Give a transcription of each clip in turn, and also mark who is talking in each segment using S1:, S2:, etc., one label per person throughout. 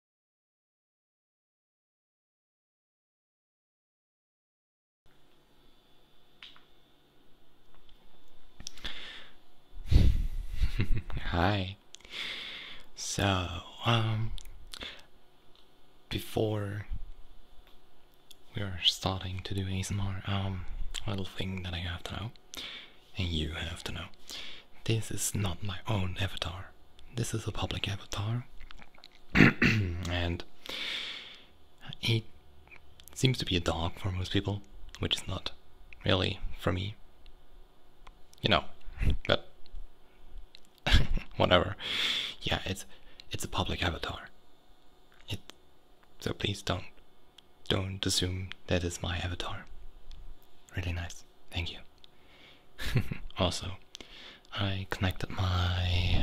S1: Hi. So, um, before we are starting to do ASMR, um, little thing that I have to know, and you have to know. This is not my own avatar. This is a public avatar. and it seems to be a dog for most people, which is not really for me. You know, but whatever. Yeah, it's it's a public avatar. so please don't don't assume that is my avatar. Really nice. Thank you. also, I connected my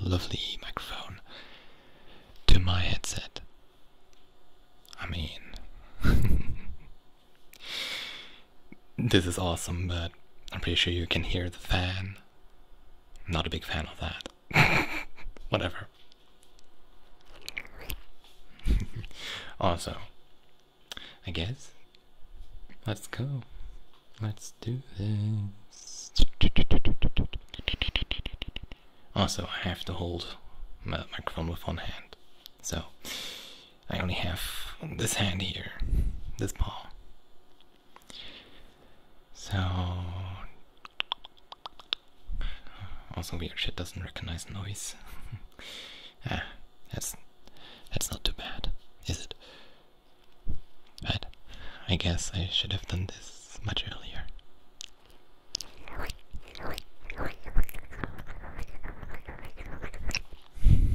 S1: lovely microphone to my headset. I mean, this is awesome, but I'm pretty sure you can hear the fan. not a big fan of that. Whatever. also, I guess. Let's go. Let's do this. Also, I have to hold my microphone with one hand. So, I only have this hand here, this paw. So, also weird shit doesn't recognize noise. ah. That's that's not too bad, is it? But I guess I should have done this much earlier.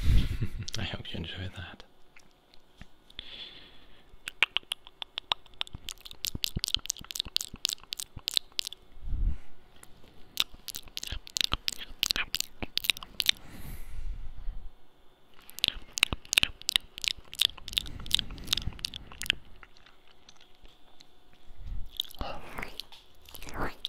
S1: I hope you enjoy that.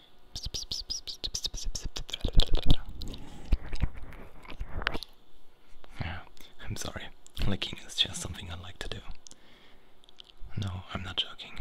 S1: Yeah, I'm sorry. Licking is just something I like to do. No, I'm not joking.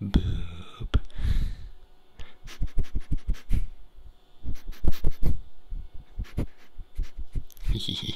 S1: Boob.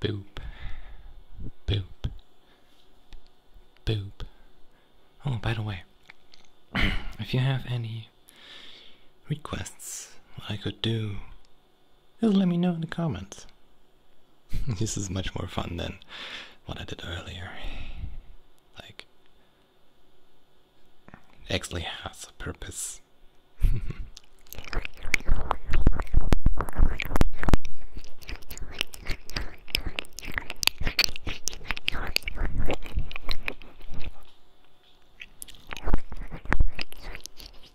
S1: Boop. Boop. Boop. Oh, by the way, if you have any requests, I could do just let me know in the comments. this is much more fun than what I did earlier. Like, actually has a purpose.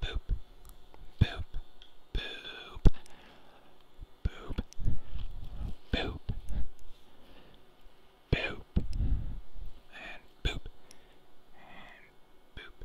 S1: Boop. Boop. Boop. Boop. Boop. Boop. And boop. And boop.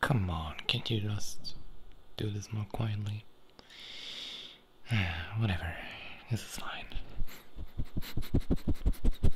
S1: Come on, can't you just do this more quietly? Whatever, this is fine.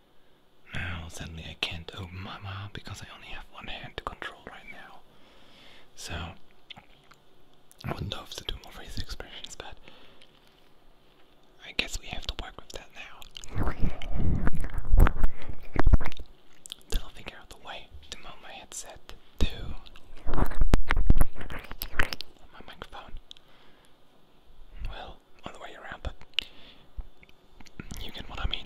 S1: Now suddenly I can't open my mouth because I only have one hand to control right now. So I would not love to do more face expressions, but I guess we have to work with that now. Till figure out the way to mount my headset to my microphone. Well, other way around, but you get what I mean.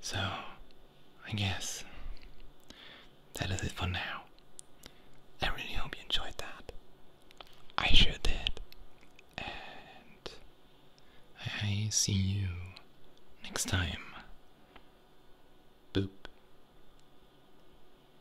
S1: so, I guess that is it for now. I really hope you enjoyed that. I sure did. And I see you next time. Boop.